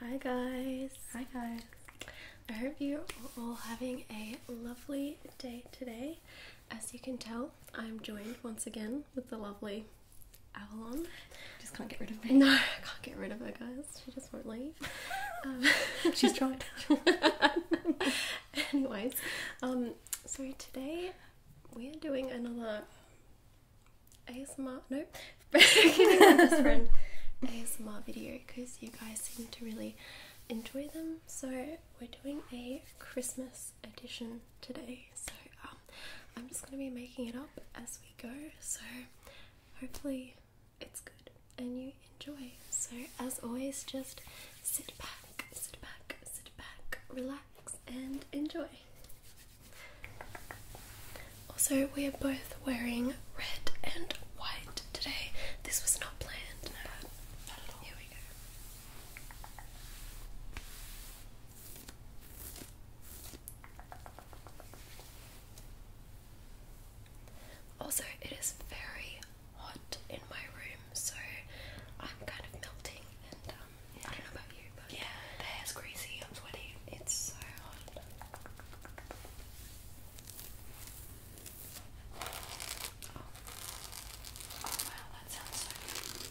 Hi guys. Hi guys. I hope you are all having a lovely day today. As you can tell, I'm joined once again with the lovely Avalon. Just can't get rid of me. No, I can't get rid of her, guys. She just won't leave. Um, She's tried. Anyways, um, so today we are doing another ASMR. No, kidding my best friend ASMR video because you guys seem to really enjoy them. So we're doing a Christmas edition today. So um, I'm just going to be making it up as we go. So hopefully it's good and you enjoy. So, as always, just sit back, sit back, sit back, relax, and enjoy. Also, we are both wearing red and white today. This was not planned, but here we go. Also, it is very hot in my room, so I'm kind of melting. And yeah. Um, I don't know about you, but yeah, hair's greasy. I'm sweaty. It's so hot. Oh, wow, that sounds so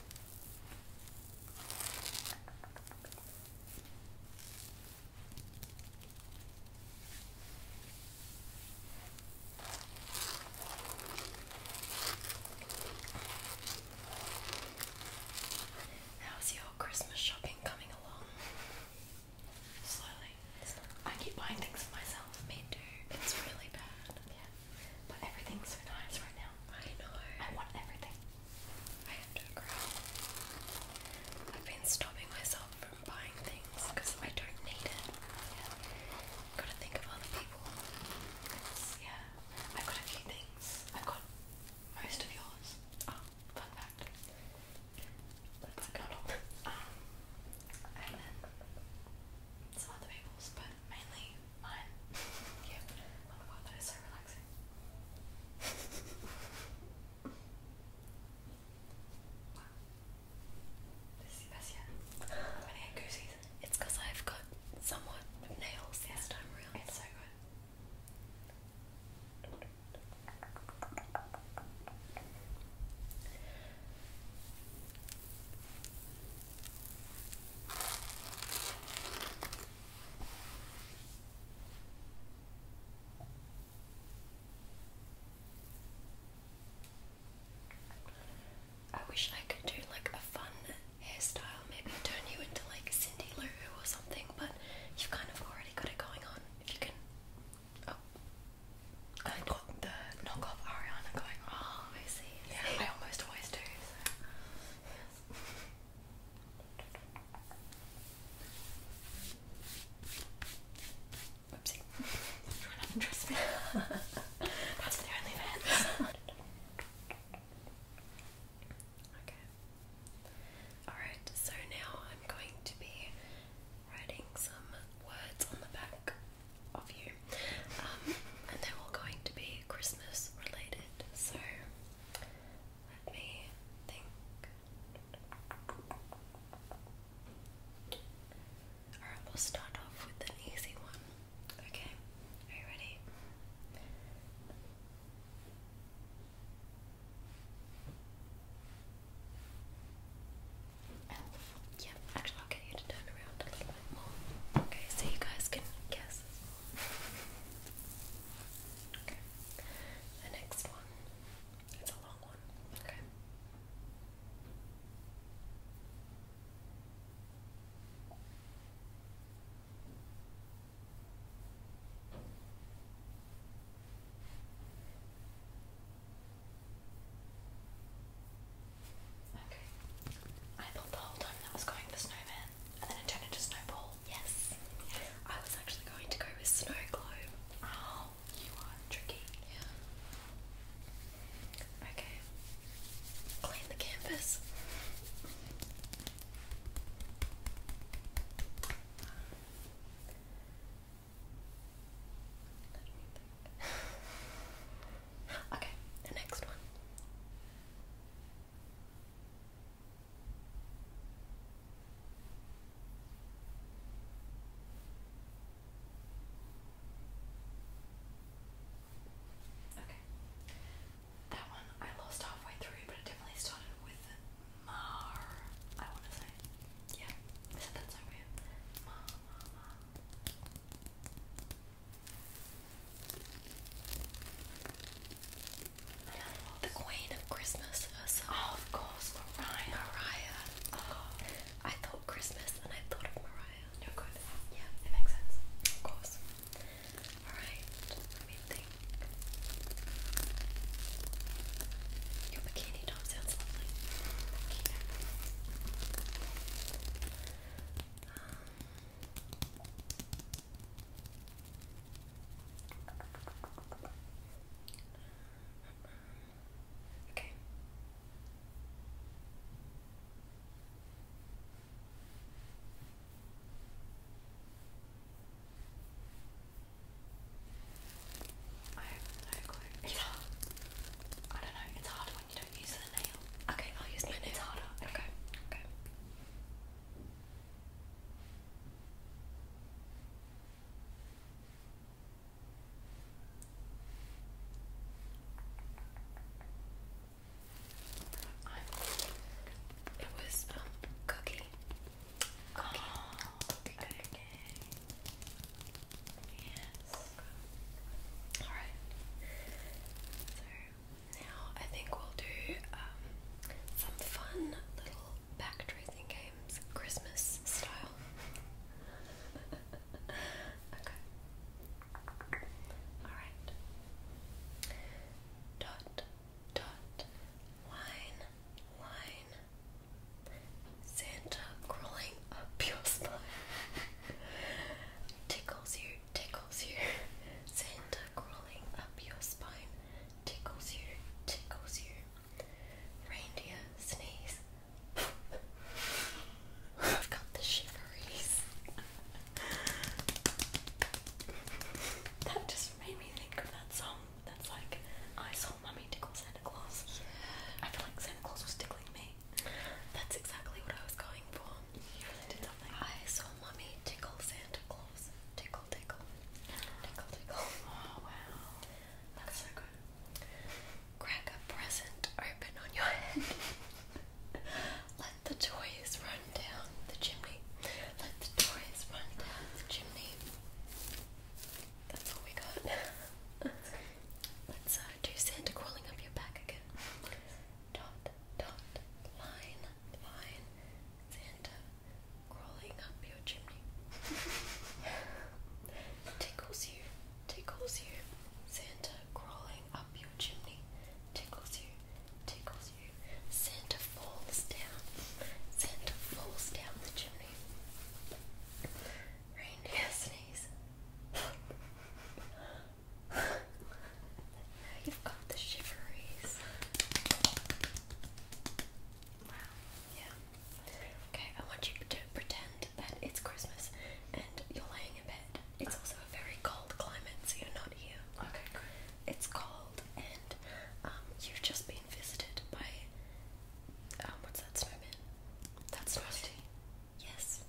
How's your Christmas shopping coming along? Slowly. I keep buying things for myself. Me too. It's really bad. Yeah. But everything's so nice right now. I know. I want everything. I have to grow. I've been stopping myself from buying things because I don't need it. Got to think of other people. yeah, I've got a few things. I've got most of yours. Oh, fun fact. That's not all. and then some other people's, but mainly Mine. yeah, oh my god, that is so relaxing. wow. This is best yet. It's because I've got somewhat nails yeah. this time around. It's so good. I wish I could do like a fun hairstyle, maybe turn you into like Cindy Lou or something, but you've kind of already got it going on. If you can. Oh. I got the knockoff Ariana going, oh, I see. Yeah, I almost always do. So. Oopsie. Try to trust me. That's the only fans. okay. Alright, so now I'm going to be writing some words on the back of you. Um, and they're all going to be Christmas related. So let me think. Alright, we'll start off with an easy one. Okay, are you ready? Elf. Yeah, actually, I'll get you to turn around a little bit more. Okay, so you guys can guess Okay. The next one. It's a long one. Okay. Okay. I thought the whole time that was going for snowman. And then it turned into Snowball. Yes. I was actually going to go with Snow Globe. Oh, you are tricky. Yeah. Okay. Clean the canvas. okay, the next one. Okay. That one I lost halfway through, but it definitely started with Mar, I want to say. Yeah, said that so weird. The Queen of Christmas herself. Uh, oh, of course, Mariah. Mariah. Oh. I thought Christmas and I thought of Mariah. You're good. Yeah, it makes sense. Of course. Alright, let me think. Your bikini top sounds lovely. Thank um, Okay. I have no clue. It's hard. I don't know. It's hard when you don't use the nail. Okay, I'll use my nail. It's harder. Okay. Okay. it was um, cookie. Cookie. Oh, okay. okay. Alright now I think we'll do um, some fun little back tracing games, Christmas style. okay. Alright. Dot, dot, line, line. Santa crawling up your spine tickles you tickles you. Santa crawling up your spine tickles you, tickles you. Reindeer sneeze. I've got the shiveries. that just made me think of that song that's like, I saw Mummy tickle Santa Claus. I feel like Santa Claus was tickling me. That's exactly what I was going for. I saw Mummy tickle Santa Claus. Tickle, tickle. Tickle, tickle. Oh, wow. That's so good. Crack a present open on your head. Let the toys run down the chimney. Let the toys run down the chimney. That's all we got. Let's uh, do Santa crawling up your back again dot, dot, line, line, Santa crawling up your chimney. tickles you, tickles you, Santa crawling up your chimney. Tickles you, tickles you, Santa falls down, Santa falls down the chimney. Reindeer sneeze now you've got the shiveries. Okay, I want you to pretend that it's Christmas and you're laying in bed. It's also a very cold climate, so you're not here. Okay, It's cold and um, you've just been visited by um, what's that snowman? That's Frosty. Yes,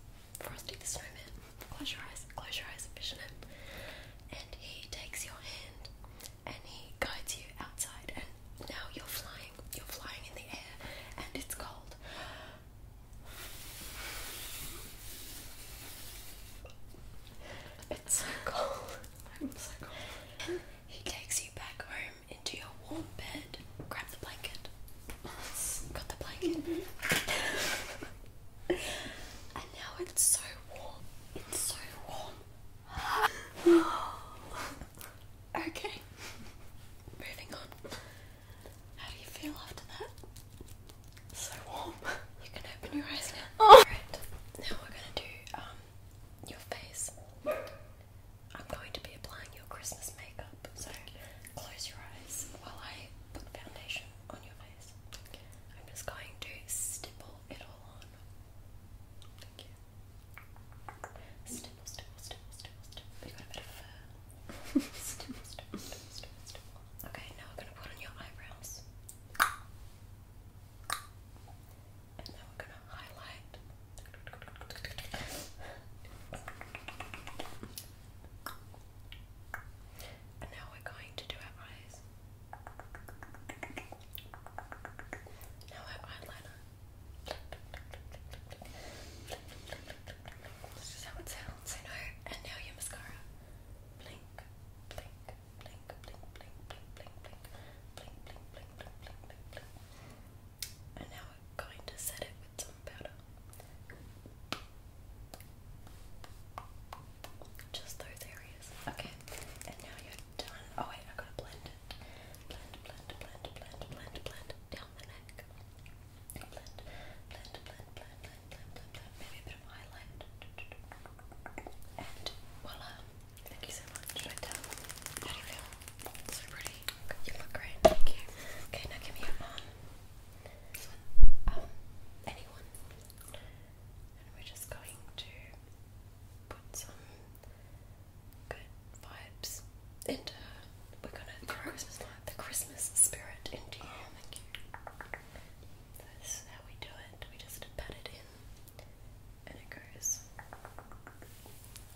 Frosty the Snowman. Close your eyes, close your eyes, vision And he takes your hand and he guides you outside. And now you're flying, you're flying in the air, and it's cold. It's so cold. i so cold. he takes you back home into your warm bed. Grab the blanket. Got the blanket. and now it's so warm. It's so warm. okay. Moving on. How do you feel after that? So warm. You can open your eyes now. Alright. Now we're gonna do um your face. I'm going to be applying your Christmas makeup, so close your eyes while I put the foundation on your face. I'm just going to stipple it all on. Thank you. Stipple, stipple, stipple, stipple, stipple. You got a bit of fur. stipple, stipple, stipple, stipple, Okay, now we're going to put on your eyebrows. And now we're going to highlight and now we're going to do our eyes. Now our eyeliner. This is how it sounds, I know. And now your mascara. blink, blink, blink, blink, blink, blink, blink, blink, blink, blink, blink, blink, blink, blink. And now we're going to set it with some powder. Just those areas. Okay. And now you're done. Oh wait, i got to blend it. Blend, blend, blend, blend, blend, blend. Down the neck. Blend, blend, blend, blend, blend, blend, blend, Maybe a bit of highlight. And voila. Thank you so much. Right down. How do you feel? So pretty. You look great. Thank you. Okay, now give me a um, anyone. And we're just going to put some good vibes into. We're gonna throw the Christmas spirit into you. this is how we do it. We just pat it in, and it goes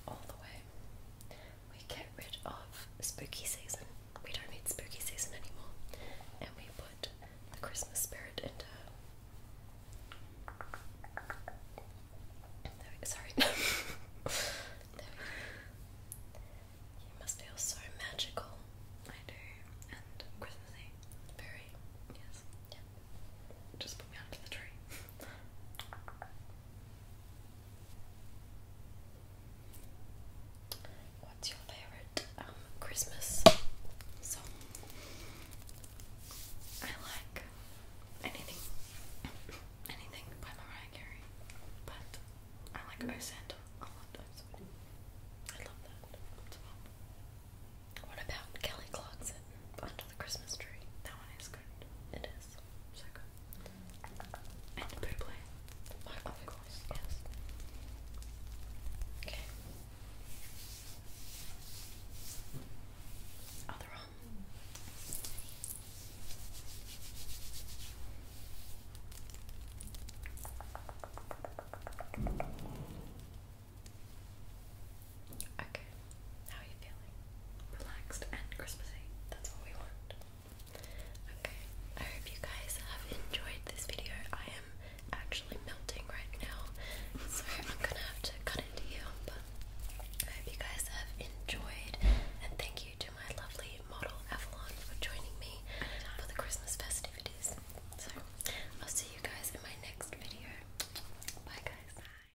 all the way we get rid of spooky season. We don't need spooky season anymore. And we put the Christmas spirit into. Sorry. You must feel so magical. I do. And Christmassy. Very. Yes. Yep. Just put me under the tree. What's your favorite um, Christmas song? I like anything, anything by Mariah Carey, but I like mm. Oh a lot. I love that. what about Kelly Clarkson under the Christmas tree? That one is good. It is so good. And the poo play. My oh, of course, yes. Okay. Other arm. Okay, how are you feeling? Relaxed and Christmassy. That's what we want. Okay, I hope you guys have enjoyed this video. I am actually melting right now, so I'm gonna have to cut it here. But I hope you guys have enjoyed, and thank you to my lovely model Avalon for joining me for the Christmas festivities. So I'll see you guys in my next video. Bye, guys. Bye.